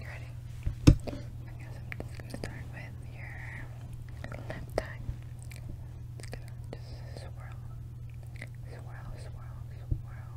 You ready? I guess I'm just gonna start with your left eye. It's gonna just swirl, swirl, swirl, swirl.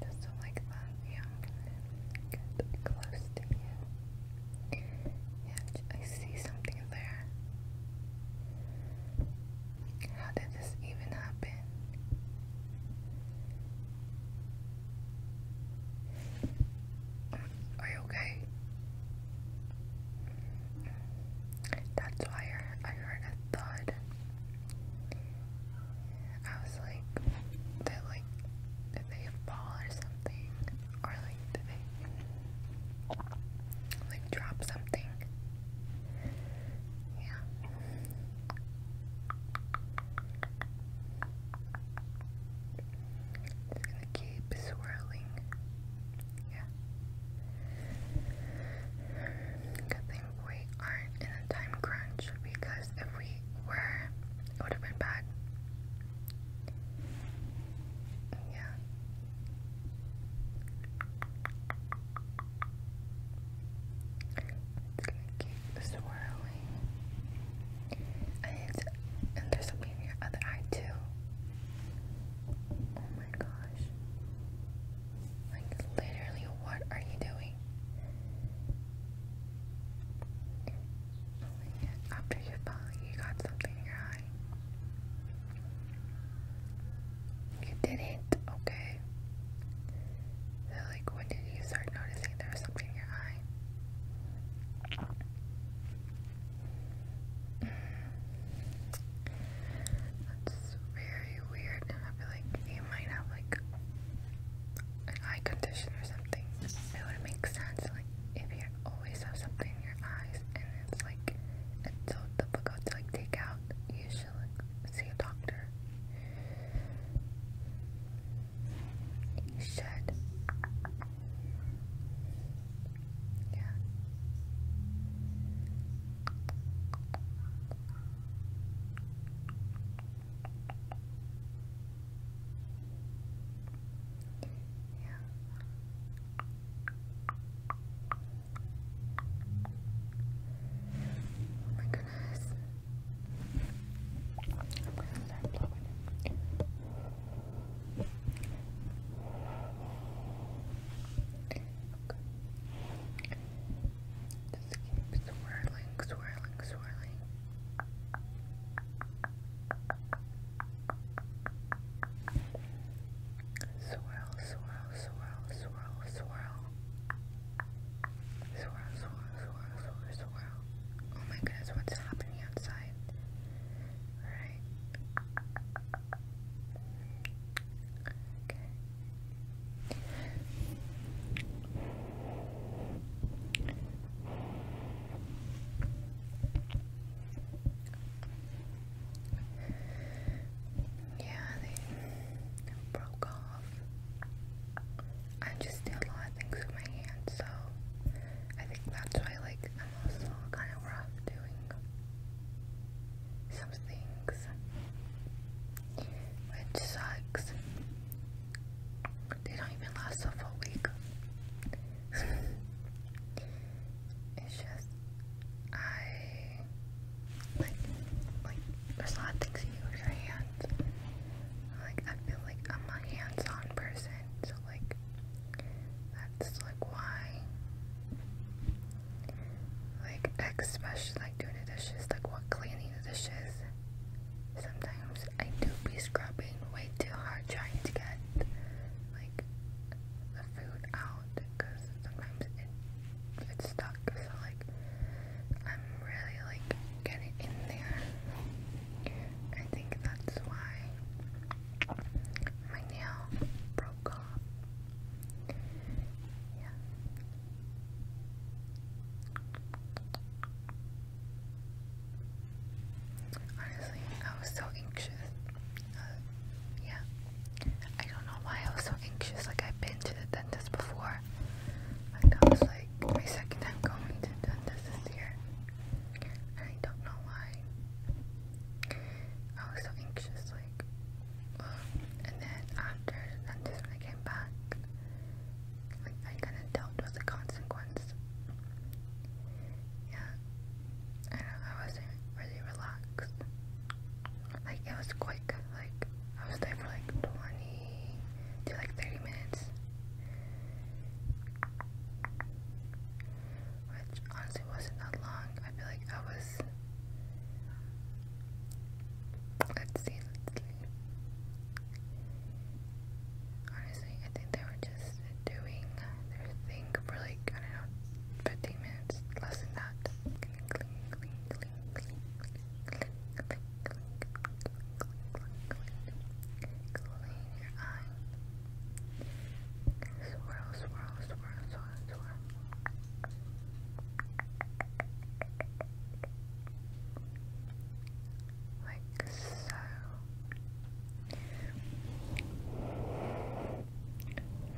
Just so like Yeah, I'm going close to you. Yeah, I see something there. How did this even happen? Are you okay? That's why I heard a thud. I was like, did like, did they fall or something? Or like, did they like drop something? Yeah. It's gonna keep swirling. Yeah. Good we aren't in a time crunch because if we were, it would have been bad. Yeah. It's gonna keep swirling. And, there's something in your other eye too. Oh my gosh. Like literally what are you doing? After you fell, you got something in your eye. You didn't? Okay. So, like, when did you start noticing there was something in your eye? That's very weird. I feel like you might have, like, an eye condition or something. It would make sense, like, if you always have something in your eyes and it's, like, it's so difficult to, like, take out, you should look, see a doctor. You should. Yeah. Yeah. Oh my goodness. I'm gonna start blowing Just keep swirling, swirling, swirling. Swirl, swirl, swirl, swirl, swirl. Swirl, swirl, swirl, swirl, swirl. Oh my goodness, what's happening outside? Right. Okay yeah, they broke off. I just did a lot of things with my hands, so I think that's why like I'm also kind of rough doing some things, which sucks. They don't even last a full week. it's just I like like there's a lot of things you use your hands. Like I feel like I'm a hands-on person, so like that's like why like especially like doing the dishes, like what cleaning the dishes. Sometimes I do be scrubbing way too hard trying to get like the food out because sometimes it it's stuck. So like I'm really like getting in there. I think that's why my nail broke off. Yeah. Honestly, I was so anxious. Uh, yeah. I don't know why I was so anxious. Like I've been to the dentist before. Like that was like my second time going to the dentist this year. And I don't know why. I was so anxious, like and then after the dentist when I came back, like I kinda dealt with the consequence. Yeah. I I wasn't really relaxed like it was quick. Like I was there for like 20 to like 30 minutes, which honestly wasn't that long. I feel like I was. Let's see. Honestly, I think they were just doing their thing for like I don't know, 15 minutes, less than that your eye. Swirl, swirl, swirl, swirl, swirl. Like so.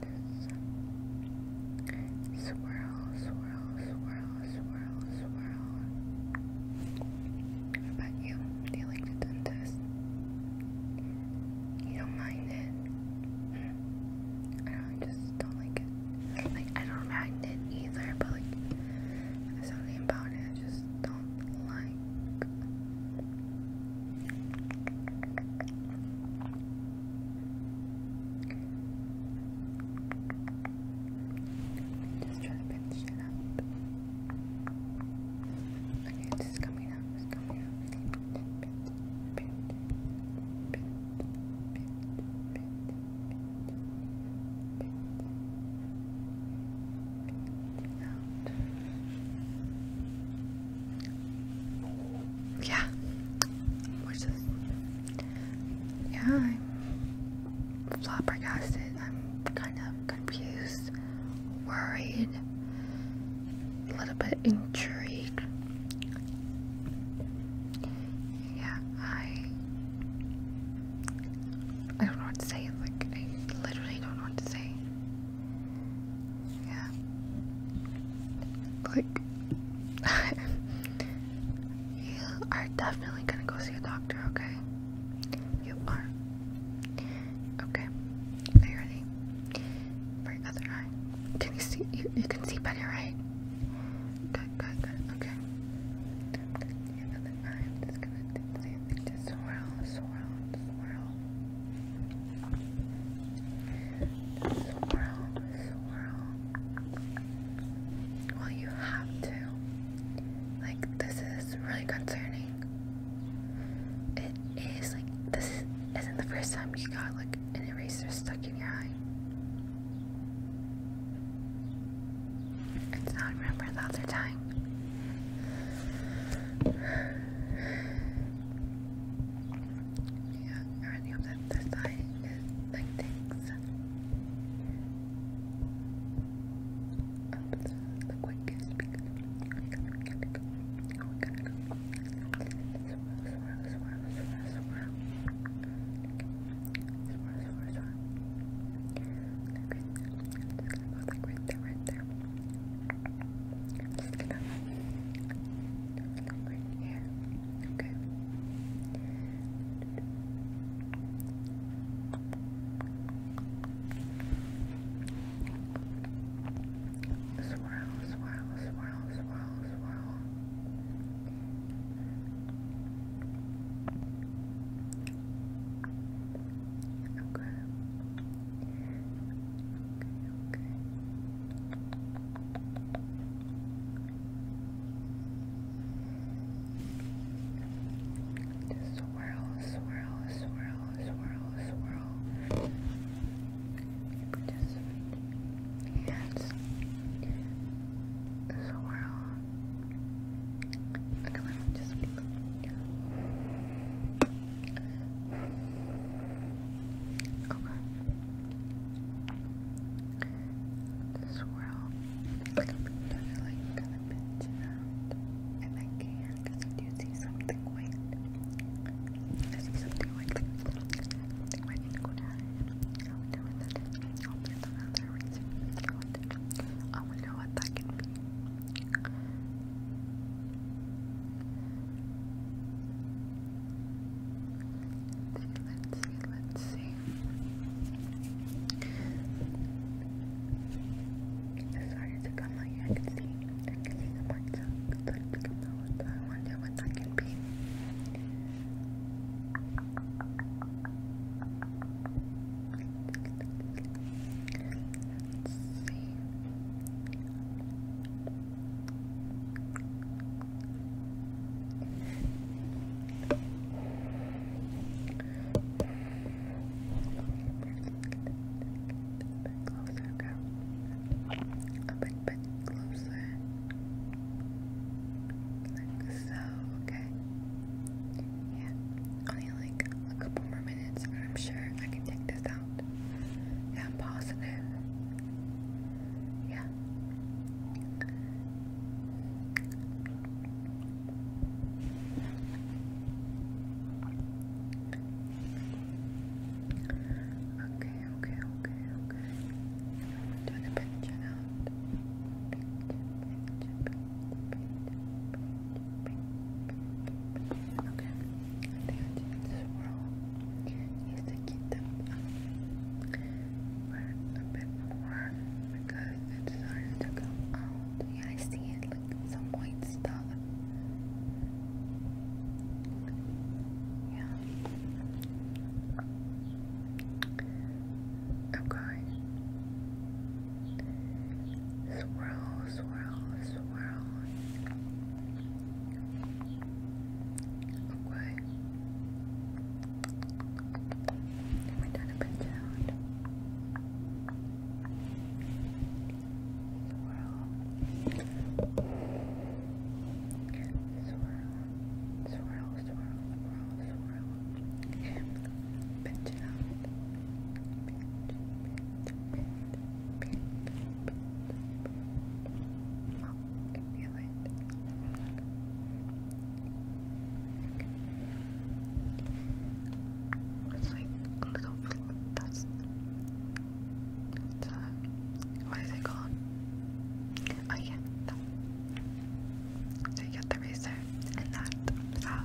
This. Swirl, swirl, swirl, swirl, swirl. about you? Do you like to do You don't mind it? I don't know, I just don't like it. Like, I don't mind it either, but like, there's something about it I just don't like. Just try to finish it up. Okay, this coming up, it's coming up. Yeah. Which is yeah, I'm flabbergasted. I'm kind of confused, worried, a little bit intrigued yeah, I I don't know what to say. Like I literally don't know what to say. Yeah. Like you are definitely gonna go see a doctor, okay? You are. Okay. Are you ready? For other eye. Can you see you can see better, right? Good, good, good. Okay. You know that I'm just gonna do something to swirl, swirl, swirl. Swirl, swirl. Well, you have to. Like, this is really concerning. It is like, this isn't the first time you got like an eraser stuck in your eye. It's not remember the other time. Yeah, I really hope that this side is like things. the quickest. Swirl, swirl, swirl, swirl, swirl. Okay. Okay, Just swirl, swirl, swirl, swirl, swirl. Just Yes. Swirl. Okay, Okay. Swirl. Like, I'm like gonna pinch it out. If I can, because I do see something white. I see something white. I wonder what that is. what that can be. Let's see, let's see. It's started to come out. I can see. I the marks. It started to come out. I wonder what that can be. Let's see. A bit closer, girl. A bit, bit closer. Good so, okay. Yeah, only like a couple more minutes, and I'm sure I can take this out. Yeah, I'm positive. Yeah. Okay, okay, okay, okay. I'm doing a Okay, I this wrong. You to keep them a bit more because it's starting to come out. Yeah, I see it, like some white stuff. Yeah. Okay. Swirl, swirl, swirl. Okay. We're done a bit down. Swirl. Swirl swirl, swirl, swirl, swirl, and pinch it out. Pinch, pinch, pinch, pinch, pinch. Oh, I can feel it. It's like a little, that's, that's, uh, what is it called? Oh yeah, that. So you get the razor, and that's how.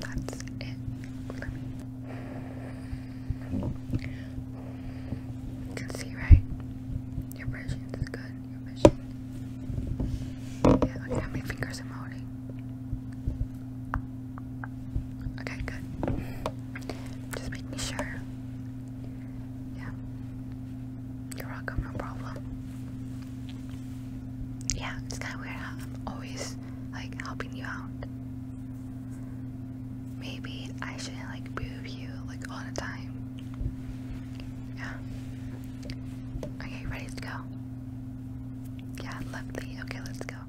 That's it You can see, right? Your vision is good. Your vision. Yeah, look how many fingers i holding. Okay, good. Just making sure yeah. You're welcome, no problem. Yeah, it's kinda weird I'm always like helping you out. Maybe I shouldn't like boob you like all the time. Yeah. Okay, ready to go? Yeah, lefty. Okay, let's go.